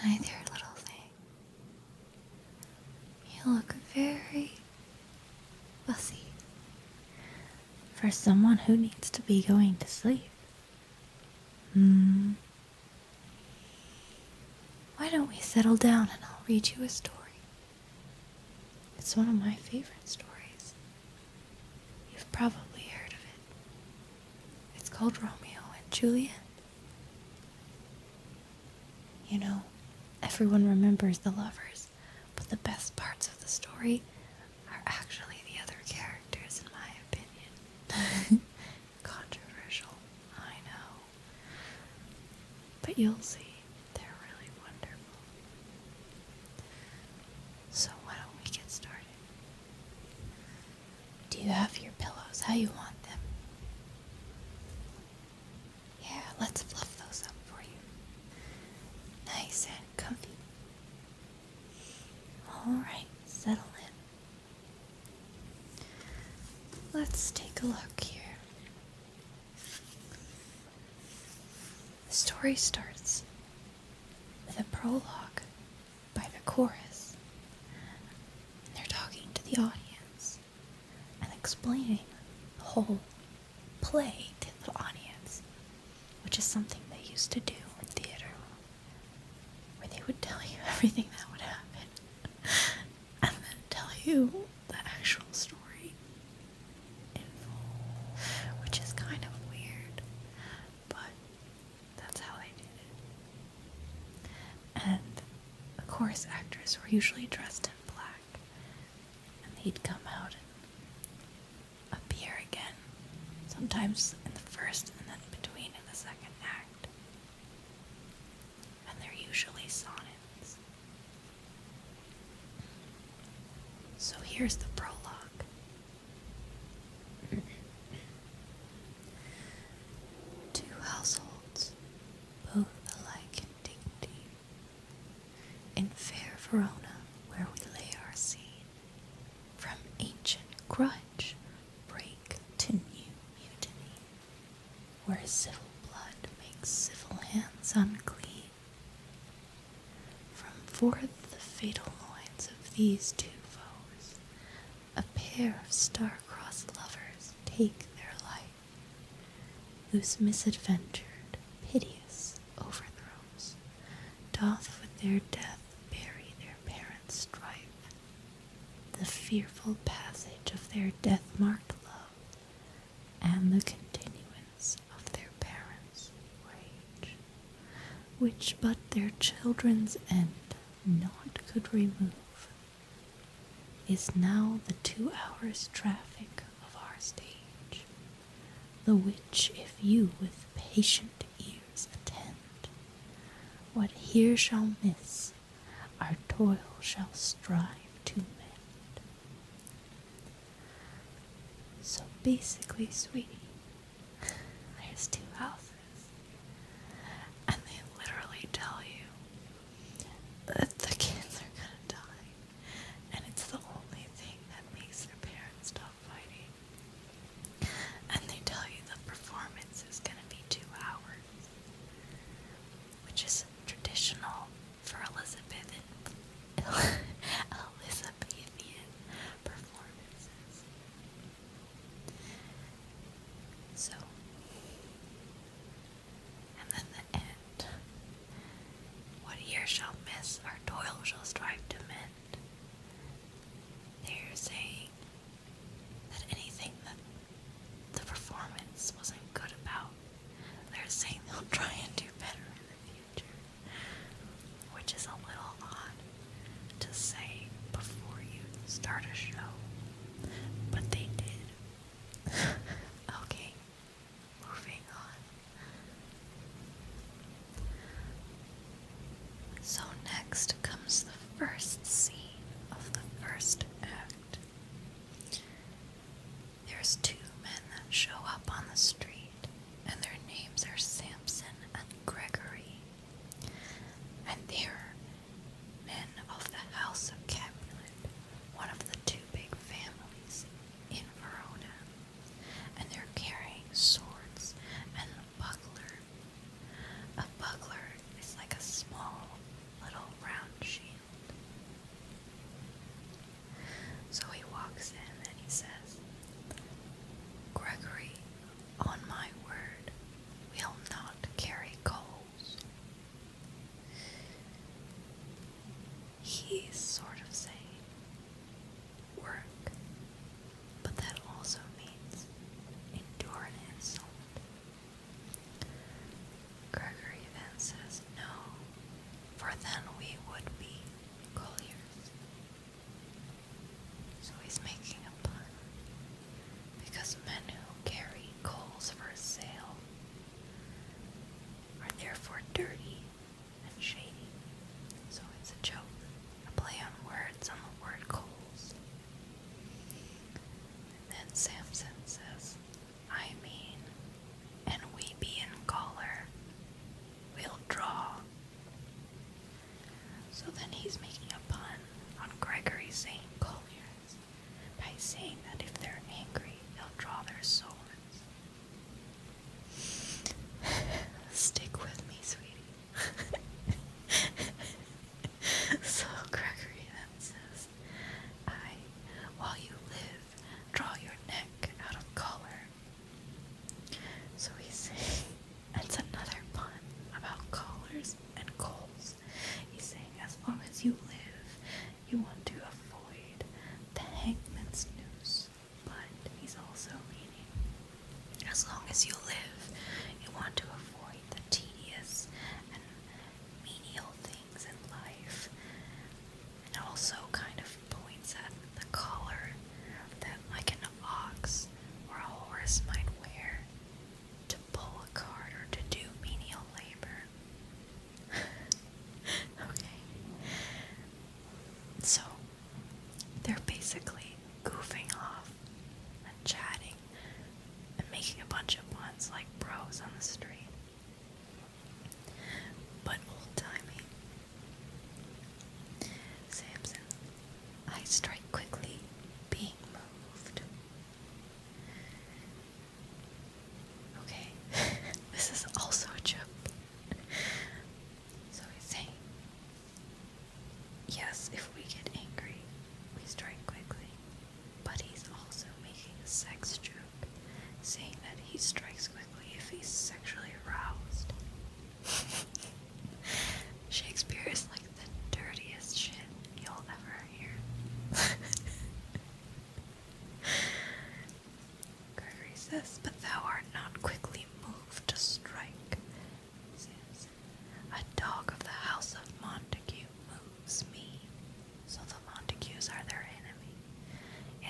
Hi there, little thing. You look very fussy for someone who needs to be going to sleep. Hmm. Why don't we settle down and I'll read you a story? It's one of my favorite stories. You've probably heard of it. It's called Romeo and Juliet. You know, everyone remembers the lovers, but the best parts of the story are actually the other characters, in my opinion. Controversial, I know. But you'll see, they're really wonderful. So, why don't we get started? Do you have your pillows how you want them? Yeah, let's fluff those up for you. Nice and comfy. Alright, settle in. Let's take a look here. The story starts with a prologue by the chorus. And they're talking to the audience and explaining the whole play to the audience, which is something they used to do in theater, where they would tell you everything that would happen and then tell you the actual story in full, which is kind of weird, but that's how they did it. And the chorus actors were usually dressed in black, and they would come out and appear again, sometimes in the first and then between in the second act. And they're usually sonnets. So here's the prologue. Two households, both alike in dignity, in fair Verona, where we lay our scene, from ancient grudge break to new mutiny, where civil blood makes civil hands unclean. From forth the fatal loins of these two foes, a pair of star-crossed lovers take their life, whose misadventured, piteous overthrows doth with their death bury their parents' strife. The fearful passage of their death-marked love, and the continuance of their parents' rage, which but their children's end not could remove is now the two hours' traffic of our stage, the which, if you with patient ears attend, what here shall miss, our toil shall strive to mend. So basically, sweetie, there's two houses. And they literally tell you that the kids are gonna die. And it's the only thing that makes their parents stop fighting. And they tell you the performance is gonna be two hours. Which is traditional for Elizabethan Elizabethan performances. So, and then the end. What ear shall miss, our toil shall strive to mend. They're saying that anything that the performance wasn't good about, they're saying they'll try and do better in the future, which is a little odd to say before you start a show, but they did. okay, moving on. So, next comes the first scene of the first act. There's two men that show up on the street, and their names are Samson and Gregory. And they're men of the House of Capulet, one of the two big families in Verona, and they're carrying swords and a buckler. A buckler is like a small little round shield. So he walks in and he says, Gregory, on my word, will not carry coals. He's sort of saying work, but that also means endure Gregory then says no, for then we would be colliers. So he's making a pun because men who carry coals for sale are therefore dirty and shady. So it's a joke, a play on words on the word coals. And then Samson says, I mean, and we be in collar, we'll draw. So then he's making a pun on Gregory's St. Collier's by saying that if they're angry, they'll draw their swords. Stick with me, sweetie. so Gregory then says, I, while you live, draw your neck out of collar. So we saying that's another pun about collars and coals this. He's saying, as long as you live, you want to avoid the hangman's noose. But he's also meaning, as long as you live, you want to avoid the tedious and menial things in life. It also kind of points at the collar that, like an ox or a horse, might wear to pull a card or to do menial labor. okay. So they're basically goofing off and chatting and making a bunch of puns like bros on the street. But old timey. Samson, I strike quickly, being moved. Okay, this is also a chip. so he's saying, yes, if we get angry, we strike quickly. But he's also making a sex joke, saying that he strikes quickly if he's sexually aroused. Shakespeare is like the dirtiest shit you'll ever hear. Gregory says, But thou art not quickly moved to strike. A dog of the house of Montague moves me. So the Montagues are their enemy.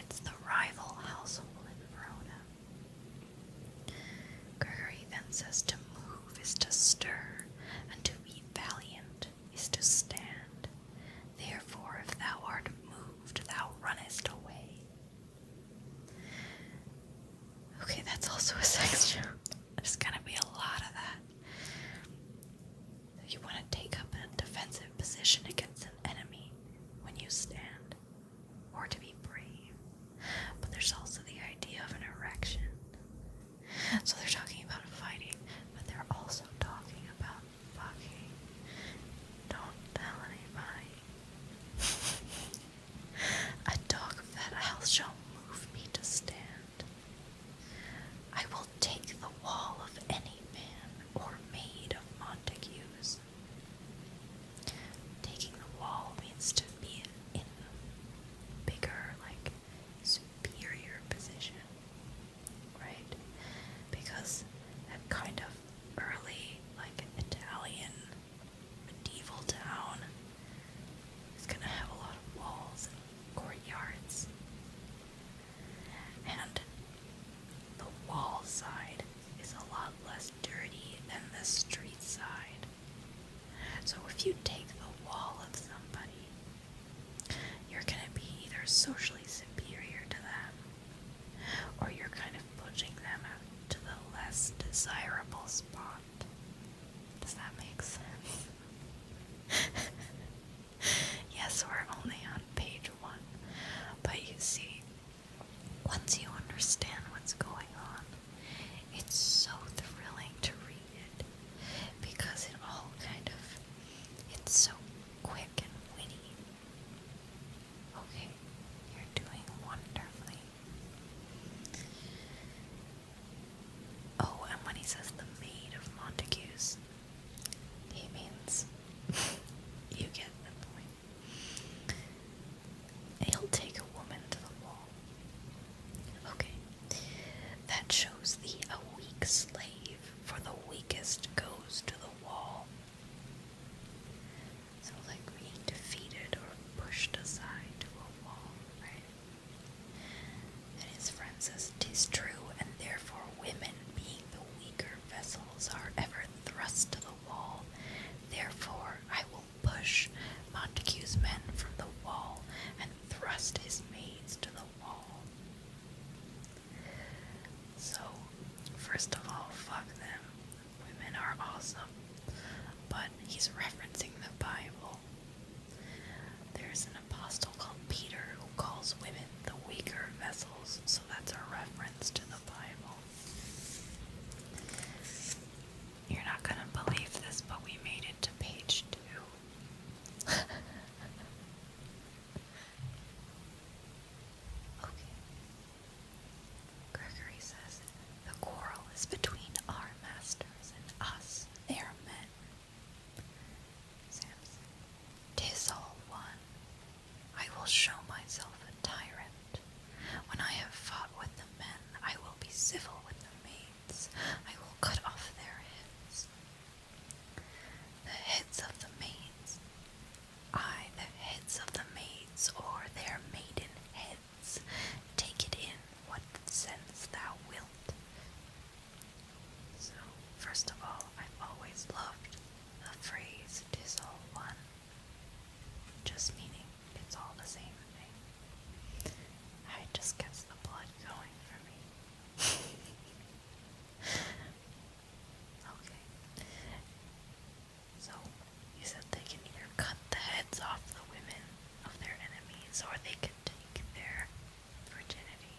It's the rival household in Verona. Gregory then says to move is to stir, and to be valiant is to stand. Therefore, if thou art moved, thou runnest away. Okay, that's also a sex joke. There's gonna be a lot of that. You want to take up a defensive position against an enemy when you stand, or to be brave. But there's also the idea of an erection. So they're talking about fighting, but they're also talking about fucking. Don't tell anybody. A dog fed house shall move me to stand. I will take the wall of any man or maid of Montague's. Taking the wall means to be in bigger, like superior position, right? Because that kind of early, like Italian medieval town is gonna have a lot of walls and courtyards, and the wall side is a lot less dirty than the street side. So if you take the wall of somebody, you're going to be either socially superior to them, or you're kind of pushing them out to the less desirable spot. Does that make sense? yes, we're only on page one, but you see, once you understand what's going on, it's so thrilling to read it because it all kind of it's so quick and witty. Okay, you're doing wonderfully. Oh, and when he says the maid of Montagues, he means you get the point. He'll take a woman to the wall Okay. That shows thee a weak slave, for the weakest goes to the wall. So, like being defeated or pushed aside to a wall, right? And his friend says, "'Tis true, and therefore women, being the weaker vessels, are ever thrust to the wall. Therefore I will push Montague's men from the wall, and thrust his maids to the wall. So, first of all, fuck them. Women are awesome. But he's referencing the Bible. There's an apostle called Peter who calls women the weaker vessels, so that's a reference to the Bible. You're not going to believe this, but we made it to page two. Gregory says the quarrel is between our masters and us, their men. Samson, tis all one. I will show myself a tyrant. When I have fought with the men, I will be civil with the maid. I will cut off their heads. The heads of the maids. I, the heads of the maids, or their maiden heads. Take it in what sense thou wilt. So, first of all, I've always loved the phrase, tis all one. Just meaning it's all the same thing. It just gets the blood going for me. okay. So, you said they can either cut the heads off the women of their enemies or they can take their virginity.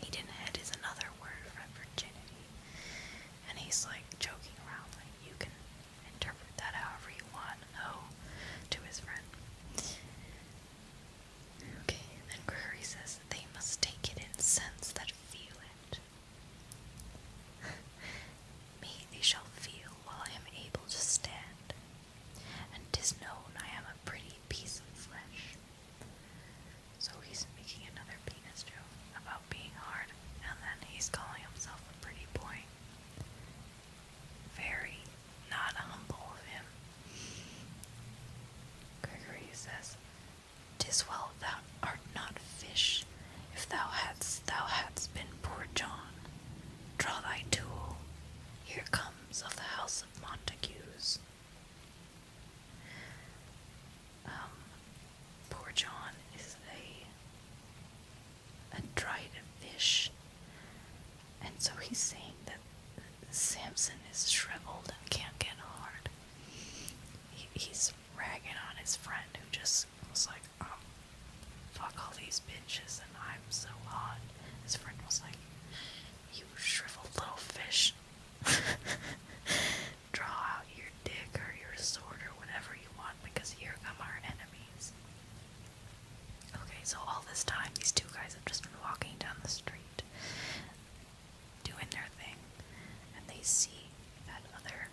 Eden is another word for virginity. And he's like joking around, like, you can interpret that however you want, no, to his friend. Okay, then Gregory says they must take it in sense that feel it. Me they shall feel while I am able to stand, and known I am a pretty piece of flesh. So he's making another penis joke about being hard, and then he's calling himself a pretty boy. Very not humble of him. Gregory says, "'Tis well thou art not fish, if thou hadst thou hadst been poor John. Draw thy tool, here comes of the house of Montagues." Um, poor John is a and dried fish. And so he's saying that Samson is shriveled and can't get hard. he's ragging on his friend who just was like, oh, fuck all these bitches and I'm so hot. His friend was like, you shriveled little fish. Draw out your dick or your sword or whatever you want because here come our enemies. Okay, so all this time, these two guys have just been walking down the street, doing their thing, and they see that other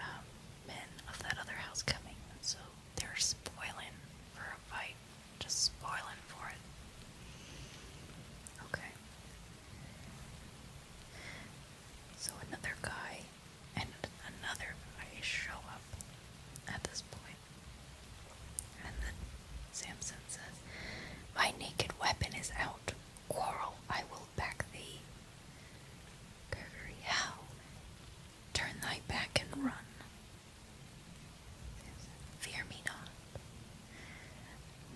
um, men of that other house coming. So they're spoiling for a fight, just spoiling for it. Okay. So another guy and another guy show up at this point. And then Samson says, My naked weapon is out. Quarrel, I will back thee. Gregory, how? Turn thy back and run. fear me not.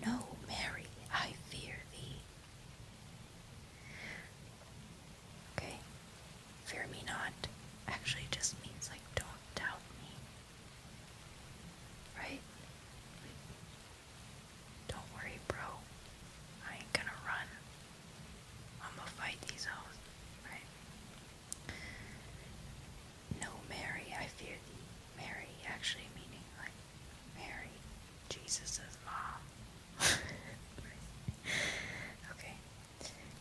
No, Mary, I fear thee. Okay, Fear me not actually just means like don't doubt me. Right? don't worry, bro. I ain't gonna run. I'm gonna fight these hoes. Right? No, Mary, I fear thee. Mary actually meaning like Mary, Jesus' mom. okay,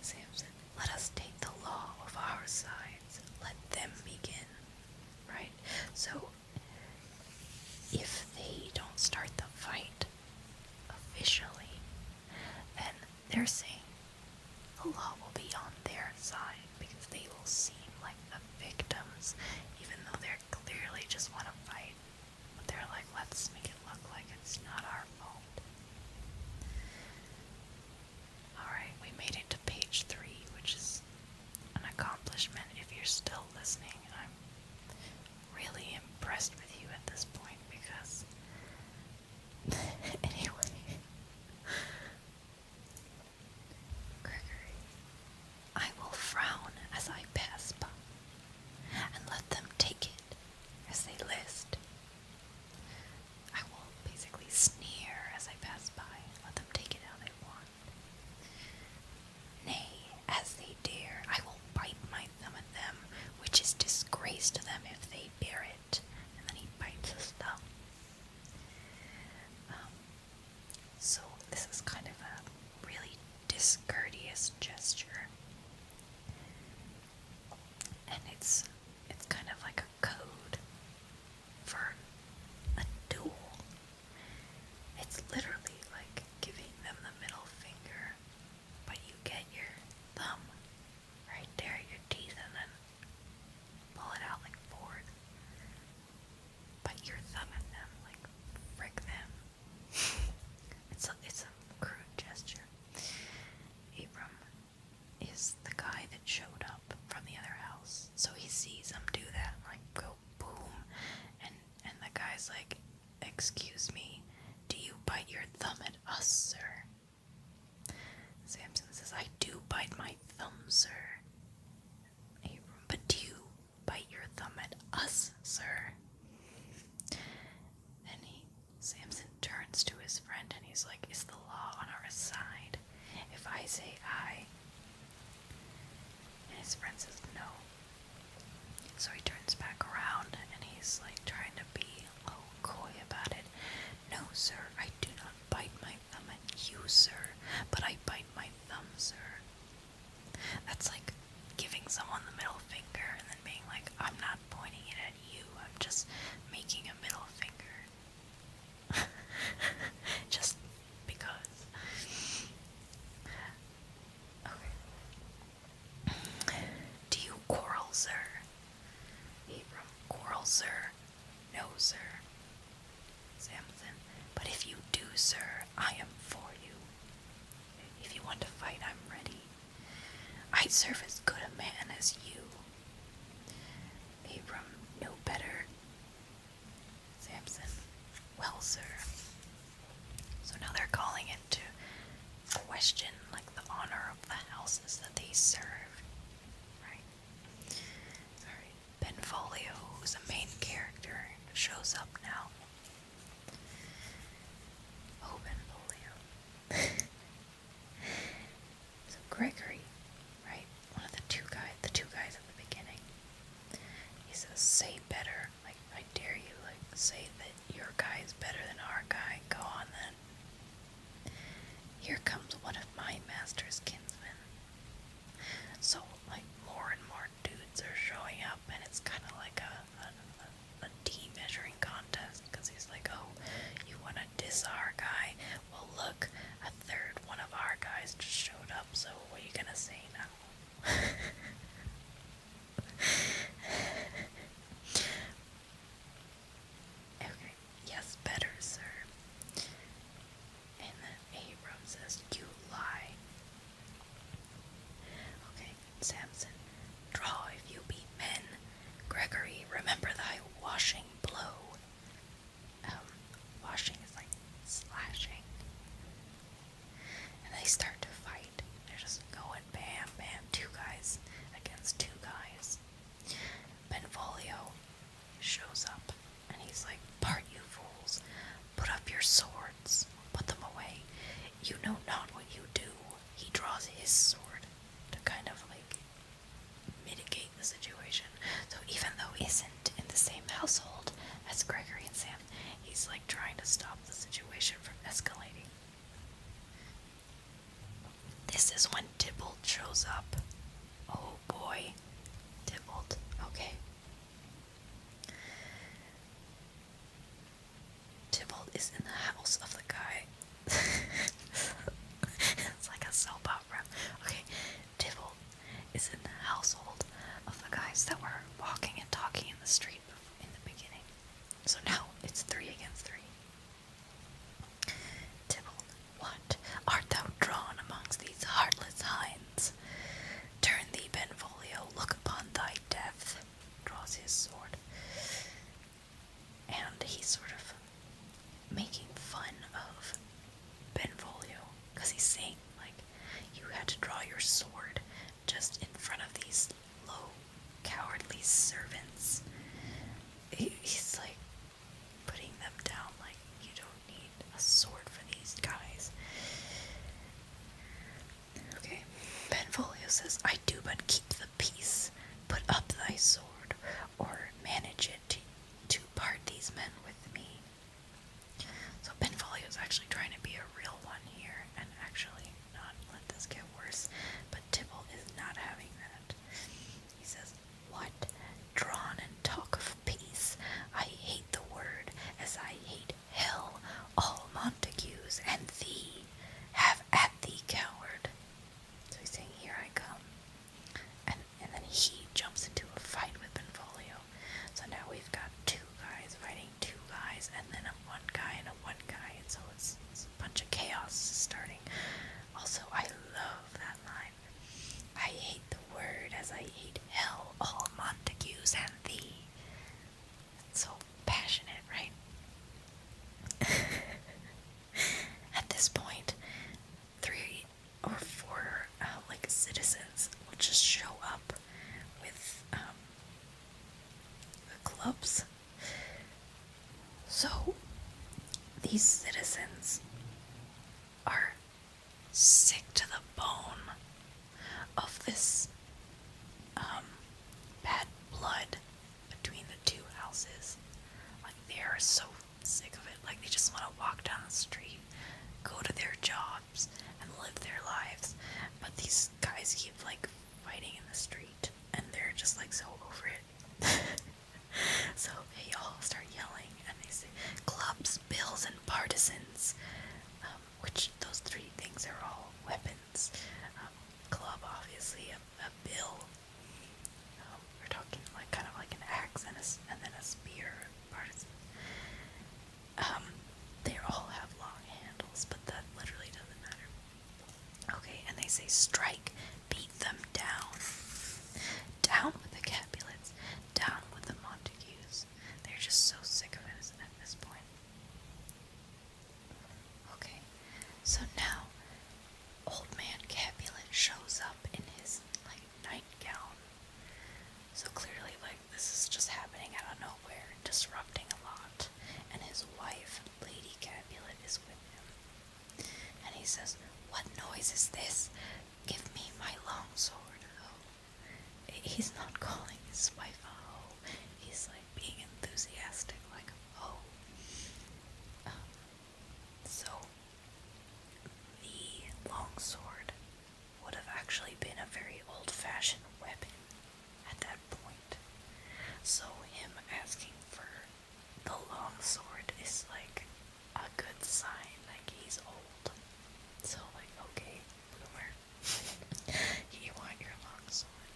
Samson, let us take the law of our sides. Let them begin. Right? So, if they don't start the fight officially, then they're saying the law will be on their side because they will seem like the victims, even though they are clearly just want to fight. But they're like, let's make it look like it's not our fault. Alright, we made it to page three, which is an accomplishment. If you're still listening, I'm really impressed with you at this point because. anyway. Gregory, I will frown as I pass by and let them take it as they list. I will basically sneer as I pass by, let them take it how they want. Nay, as they dare, I will bite my thumb at them, which is disgrace to them if they bear it. And then he bites his thumb. Um, so this is kind of a really discourteous gesture. And it's it's kind of like a code for a duel. It's literally like giving them the middle finger, but you get your thumb right there your teeth and then pull it out like forward. But you're thumbing them, like frick them. it's a, it's a crude gesture. Abram is the guy that showed up from the other house. So he sees him do that, like go boom, and and the guy's like, "Excuse me, do you bite your thumb at us, sir?" Samson says, "I do bite my thumb, sir." Abram, but do you bite your thumb at us, sir? Then he Samson turns to his friend and he's like, Is the law on our side if I say I? And his friend says no. So he turns back around and he's like trying to be oh coy about it. No, sir, I do not bite my thumb at you, sir, but I bite my thumb, sir. That's like giving someone the middle finger and then being like, I'm not pointing it you. I'm just making a middle finger. just because. Okay. Do you quarrel, sir? Abram, quarrel, sir? No, sir. Samson, but if you do, sir, I am for you. If you want to fight, I'm ready. I'd serve as good a man as you. Abram no better. Samson, well, sir. So now they're calling into question like the honor of the houses that they serve. Right? Alright. Benvolio, who's a main character, shows up now. Oh, Benvolio. So Gregory, right? One of the two guys, the two guys at the beginning. He says, "Say better." Like I dare you, like say that your guy is better than our guy. Go on then. Here comes one of my master's kinsmen. So like more and more dudes are showing up, and it's kind of like a, a a team measuring contest because he's like, oh, you want to diss our guy? Well, look, a third one of our guys just showed up, so what are you gonna say now? okay, yes, better, sir. And then Abram says, You lie. Okay, Samson, draw if you be men. Gregory, remember thy washing blow. Um, washing is like slashing. And they start to fight. They're just going bam, bam, two guys against two guys. Benvolio shows up and he's like, Part you fools, put up your swords, put them away. You know not what you do. He draws his sword to kind of like mitigate the situation. So even though he isn't in the same household as Gregory and Sam, he's like trying to stop the situation from escalating. This is when Tybalt shows up. Oh boy, Tybalt. Okay. Tybalt is in the house of the guy it's like a soap opera. Okay, Tybalt is in the household of the guys that were walking and talking in the street in the beginning. So now it's three against three. Tybalt, what art thou drawn amongst these heartless hinds? Turn thee, Benvolio, look upon thy death. Draws his sword and he's sort of making fun of Benvolio because he's saying like you had to draw your sword just in front of these low cowardly servants. he's like putting them down like you don't need a sword for these guys. Okay, Benvolio says, I do but keep the peace. Put up thy sword or manage it to, part these men with me. So Benvolio is actually trying to be a real one here and actually not let this get worse, but Tibble is not having that. He says, What? Drawn and talk of peace. I hate the word as I hate hell, all Montagues and thee. Have at thee, coward. So he's saying, Here I come. And and then he jumps into a fight with Benvolio. So now we've got two guys fighting two guys and then a one guy and a one guy and so it's, a bunch of chaos starting. Also I love that line. I hate the word as I hate hell all Montagues and thee. That's so passionate, right? at this point, three or four uh, like citizens will just show up with the um, clubs. So these citizens are sick to the bone of this um, bad blood between the two houses. Like they are so sick of it. Like they just want to walk down the street, go to their jobs, and live their lives. But these guys keep like fighting in the street, and they're just like so over it. so they all start yelling, and they say clubs, bills, and partisans. Um, which those three things are all weapons. Um, club, obviously, a, a bill we're talking like kind of like an axe and, a, and then a spear partisan. Um, they all have long handles, but that literally doesn't matter. Okay, and they say strike, beat them down. Down with the Capulets, down with the Montagues. They're just so sick of it at this point. Okay, so now old man Capulet shows up in his like nightgown. So clearly, like this is just happening out of nowhere, disrupting a lot. And his wife, Lady Capulet, is with him. And he says, "What noise is this? Give me my long sword." Oh, he's not calling his wife a hoe. He's like being enthusiastic, like "Oh." Um, so, the longsword would have actually been a very old fashioned weapon at that point. So, him asking for the longsword is like a good sign, like he's old. So, like, okay, boomer, you want your longsword.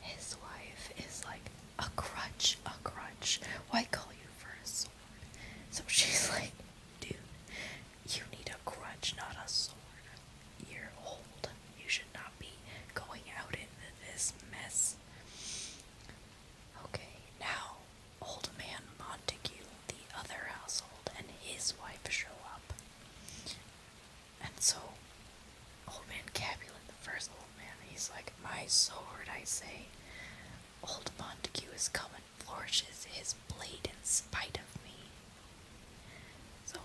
His wife is like a crutch, a crutch. Why call you for a sword? So she's like, dude, you need a crutch, not a sword. You're old. You should not be going out into this mess. Okay, now old man Montague, the other household, and his wife show up. And so Old Man Capulet, the first old man, he's like, My sword, I say. Old Montague is come and flourishes his blade in spite of me. So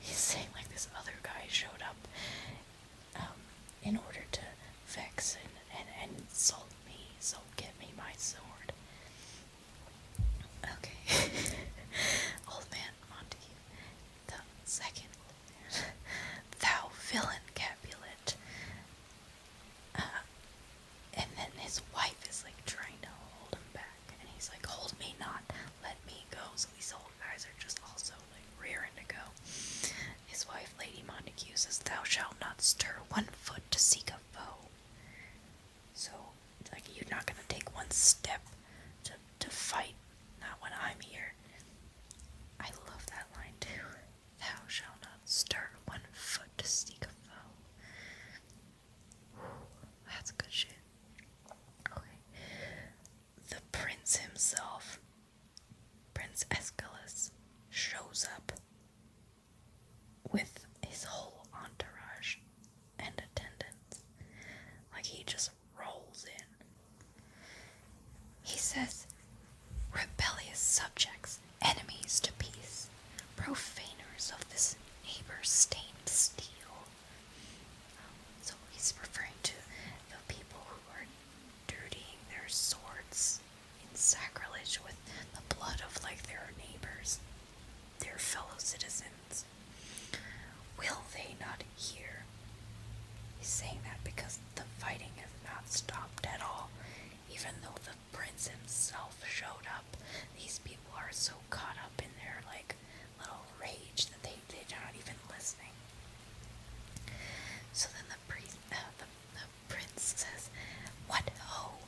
he's saying, like, this other guy showed up um, in order to vex and, insult me, so give me my sword. Okay. Old man Montague the second old man, thou villain Capulet. Uh, and then his wife is like trying to hold him back, and he's like, Hold me not, let me go. So these old guys are just also like rearing to go. His wife, Lady Montague, says, Thou shalt not stir one foot to seek a foe. So, like, you're not gonna take one step to to fight, not when I'm here. I love that line too. Thou shalt not stir one foot to seek a foe. that's good shit. Okay. The prince himself, Prince Aeschylus, shows up with his whole entourage and attendants. Like he just rolls in. He says, Rebellious subjects, enemies to peace, profaners of this neighbor's stained steel. So he's referring to the people who are dirtying their swords in sacrilege with the blood of like their neighbors, their fellow citizens. Will they not here. He's saying that because the fighting has not stopped at all. Even though the prince himself showed up, these people are so caught up in their like little rage that they, they're not even listening. So then the, priest, uh, the, the prince says, What ho, oh,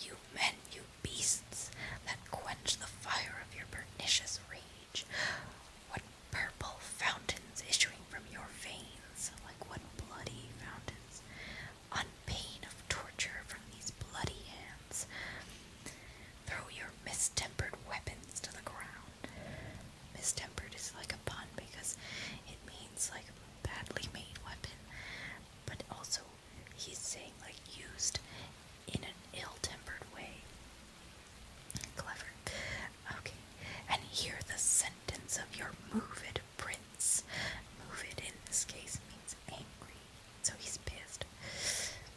you men, you beasts that quench the fire of your pernicious rage! What purple fountains issuing from your veins, like what bloody fountains, on pain of torture from these bloody hands. Throw your mistempered weapons to the ground. Mistempered is like a pun because it means like badly made weapon, but also he's saying like used in an ill tempered way. Clever. Okay. And hear the sentence of your move-it prince. Move-it in this case means angry. So he's pissed.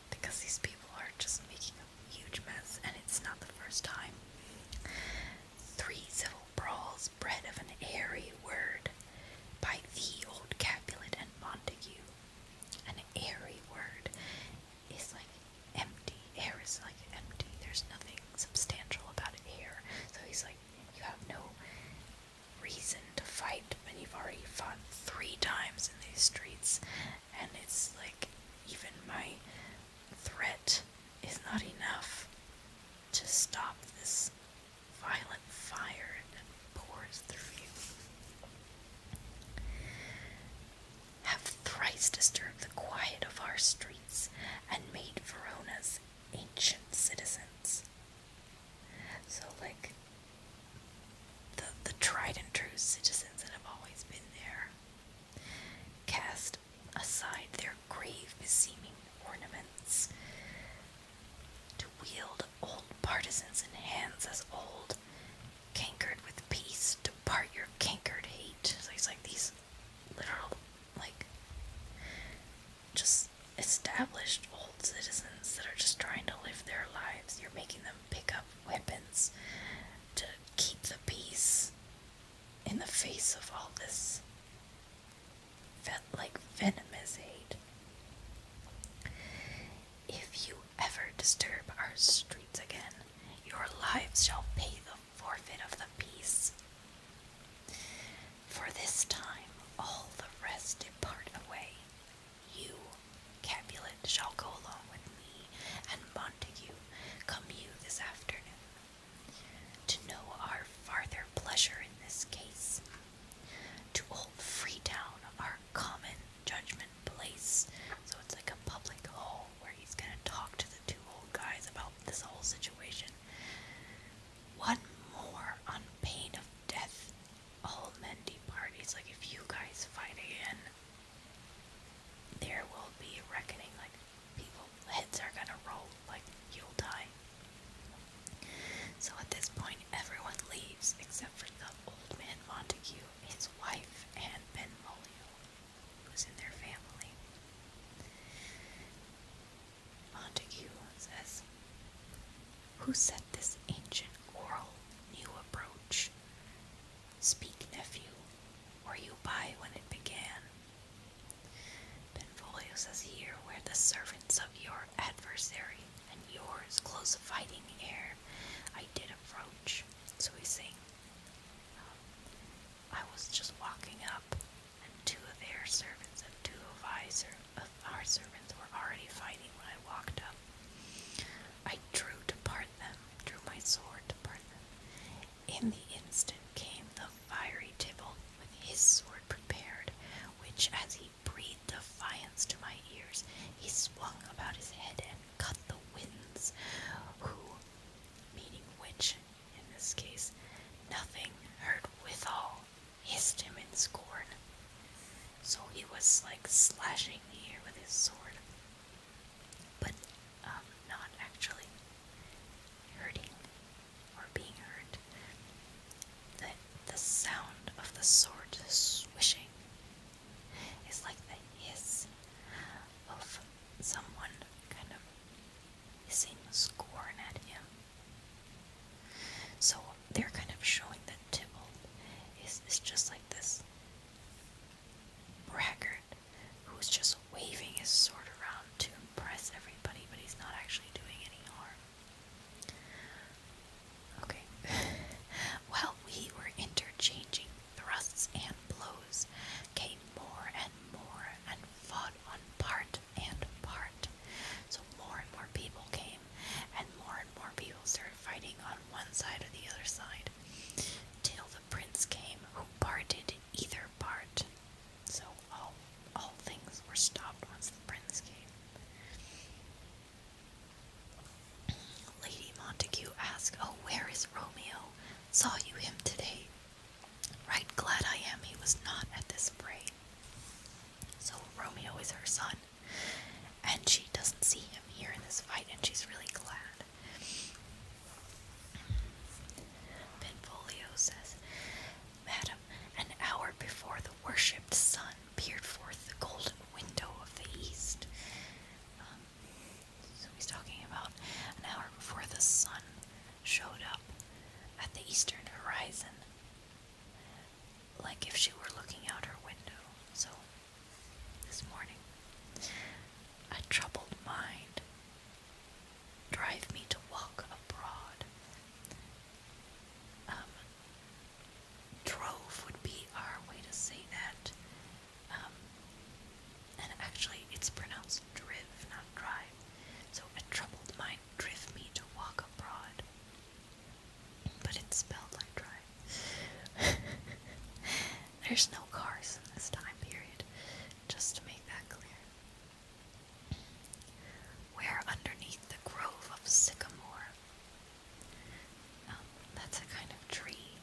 Because these people are just making a huge mess and it's not the first time. Three civil brawls bred of an airy word by the old Capulet and Montague. An airy word it's like empty. Air is like empty. There's nothing substantial about it here. So he's like, you have no reason to fight when you've already fought three times in these streets. And it's like, even my threat is not enough to stop this violent fire that pours through you have thrice disturbed the quiet of our streets and made Verona's ancient citizens. So, like, the, the tried and true citizens that have always been there cast aside their grave beseeming ornaments to wield old partisans and hands as old cankered with peace depart your cankered hate. So it's like these literal, like, just established old citizens that are just trying to live their lives. You're making them pick up weapons to keep the peace in the face of all this like venomous hate. If you ever disturb our streets again, your lives shall pay the forfeit of the peace. For this time all the rest depart away. You, Capulet, shall go along with me, and Montague, come you this afternoon, to know our farther pleasure in this case, to old Town, our common judgment place, so it's like a public hall, where he's gonna talk to the two old guys about this whole situation. One more on pain of death. All Mendy parties, like if you guys fight again, there will be reckoning. Like people, heads are gonna roll. Like you'll die. So at this point, everyone leaves except for the old man Montague, his wife, and Ben Molyneux who's in their family. Montague says, Who set this ancient oral new approach? Speak, nephew, or you by when it began. Benvolio says here where the servants of your adversary and yours close fighting air I did approach. So we sing. Um, I was just walking up, and two of their servants and two of, our servants were already fighting when I walked up. I drew to part them, drew my sword to part them. In the instant came the fiery Tybalt with his sword prepared, which, as he breathed defiance to my ears, he swung about his head and cut the winds, who, meaning which, in this case, nothing hurt withal hissed him in scorn. So he was like slashing the air with his sword, but um, not actually hurting or being hurt. The, the sound of the sword swishing is like the hiss of someone kind of hissing, scorn at him. So they're kind of showing that Tybalt is, is just like this braggart who's just waving his sword around to impress everybody, but he's not actually doing any harm. Okay. While we were interchanging thrusts and blows came more and more and fought on part and part. So more and more people came, and more and more people started fighting on one side or the other side, till the prince came who parted either part. So all all things were stopped once the prince came. Lady Montague asked, "Oh, where is Romeo? Saw you him today?" Right glad I am he was not at this fray. So Romeo is her son, and she doesn't see him here in this fight, and she's really glad. Benvolio says, Madam, an hour before the worshipped sun peered forth the golden window of the east. Um, so he's talking about an hour before the sun showed up at the eastern horizon, like if she were looking out her window. So, this morning, a troubled mind drive me to walk abroad. Um, drove would be our way to say that. Um, and actually, it's pronounced driv, not drive. So a troubled mind driv me to walk abroad. But it's spelled like drive. There's no cars in this time period, just to make that clear. Where underneath the grove of sycamore. Um, that's a kind of tree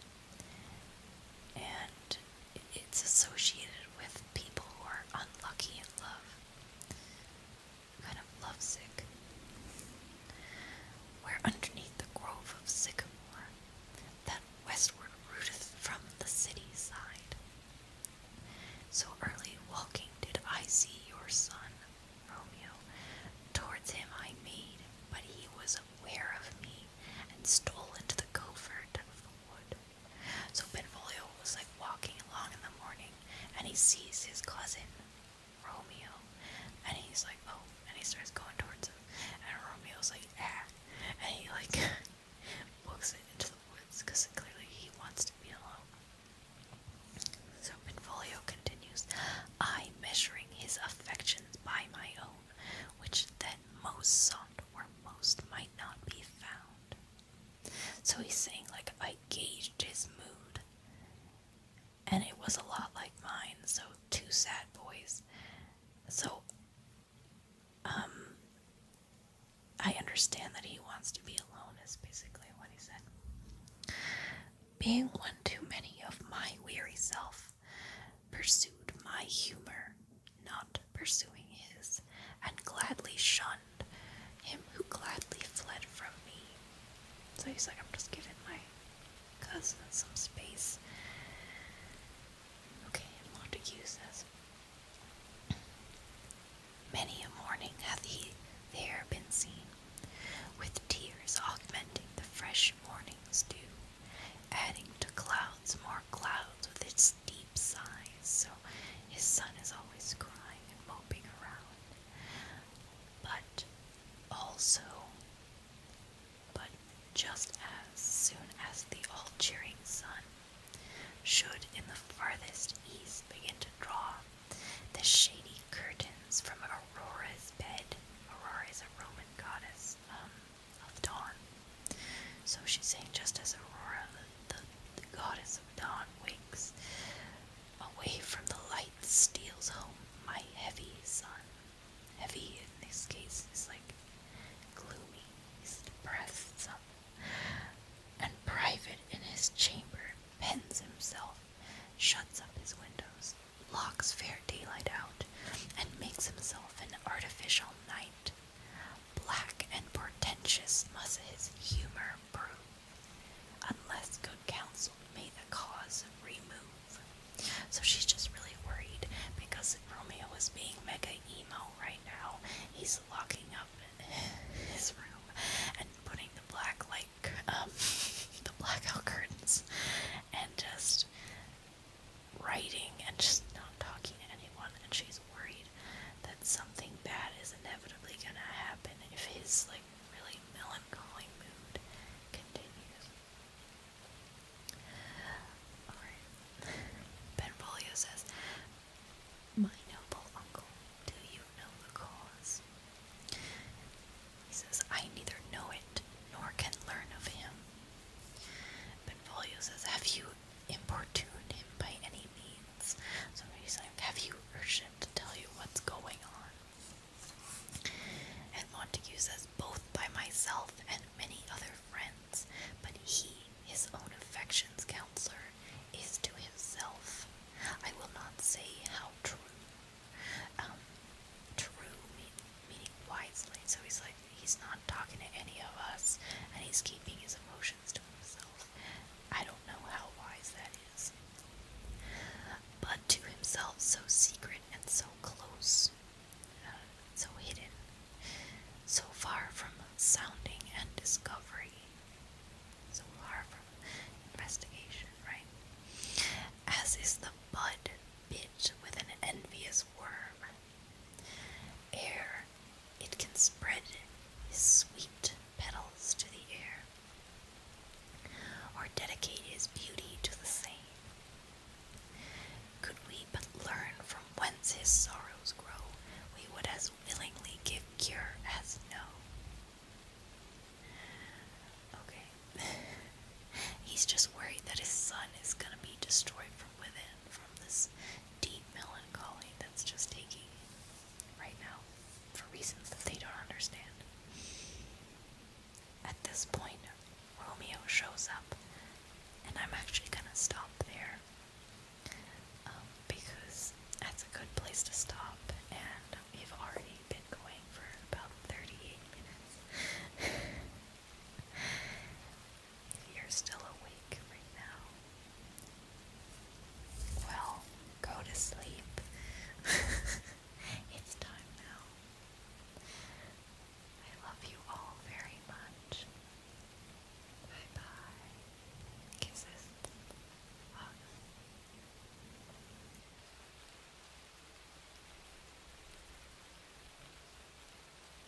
and it's associated with people who are unlucky in love, kind of lovesick. Where underneath the grove of sycamore, that westward rooteth from the city side. So early walking did I see your son, Romeo. Towards him I made, but he was aware of me, and stole into the covert so Benvolio was like walking along in the morning and he sees his cousin, Romeo, and he's like, oh, and he starts going towards him. And Romeo's like, ah, and he like walks into the woods because clearly he wants to be alone. So Benvolio continues, I measuring his affections by my own which then most sought where most might not be found. So he's saying, like, I gauged his mood, and it was a lot like mine, so two sad boys. So, um, I understand that he wants to be alone, is basically what he said. Being one too many of my weary self pursued my humor not pursuing his, and gladly shunned him who gladly fled from me. So he's like, I'm just giving my cousin some space. Okay, and Montague says, Many a morning hath he there been seen, with tears augmenting the fresh morning's dew adding to clouds more clouds with its deep sighs. So his son is always crying and moping around. But also, but just as soon as the all cheering sun should in the farthest east begin to draw the shady curtains from Aurora's bed. Aurora is a Roman goddess. Um, of dawn. So she's saying, just as Aurora, the, goddess of dawn, wakes away from the light, steals home my heavy sun. Heavy in this case is like gloomy, he's depressed, some. And private in his chamber, pens himself, shuts up his windows, locks fair daylight out, and makes himself an artificial night. Black and portentous must his humour prove, unless good counsel may the cause remove. So she's just really worried because Romeo is being mega emo right now. He's locking up his room and putting the black like um the blackout curtains and just writing and just not talking to anyone, and she's worried that something bad is inevitably gonna happen if his like really melancholy mood continues. Alright. says, My noble uncle, do you know the cause? He says, I neither know it nor can learn of him. Benvolio says, Have you importune him by any means. So he's like, Have you urged him to tell you what's going on? And Montague says, Both by myself and many other friends, but he, his own affection's counselor, is to himself. I will not say how true. Um, true mean, meaning wisely. So he's like, He's not talking to any of us, and he's keeping his emotions to himself. I don't know how wise that is. But to himself, so secret and so close, uh, so hidden, so far from sounding and discovery, so far from investigation, right? As is the bud bit with an envious worm Air, it can spread his sweet petals to the air, or dedicate his beauty to the same. Could we but learn from whence his sorrows grow, we would as willingly give cure as no. Okay. He's just worried that his son is gonna be destroyed from from within, from this deep melancholy that's just taking right now for reasons that they don't understand. At this point, Romeo shows up, and I'm actually gonna stop there um, because that's a good place to stop, and we've already been going for about 38 minutes. You're still awake right now. Well, go to sleep. it's time now. I love you all very much. Bye bye. Kisses. Hugs.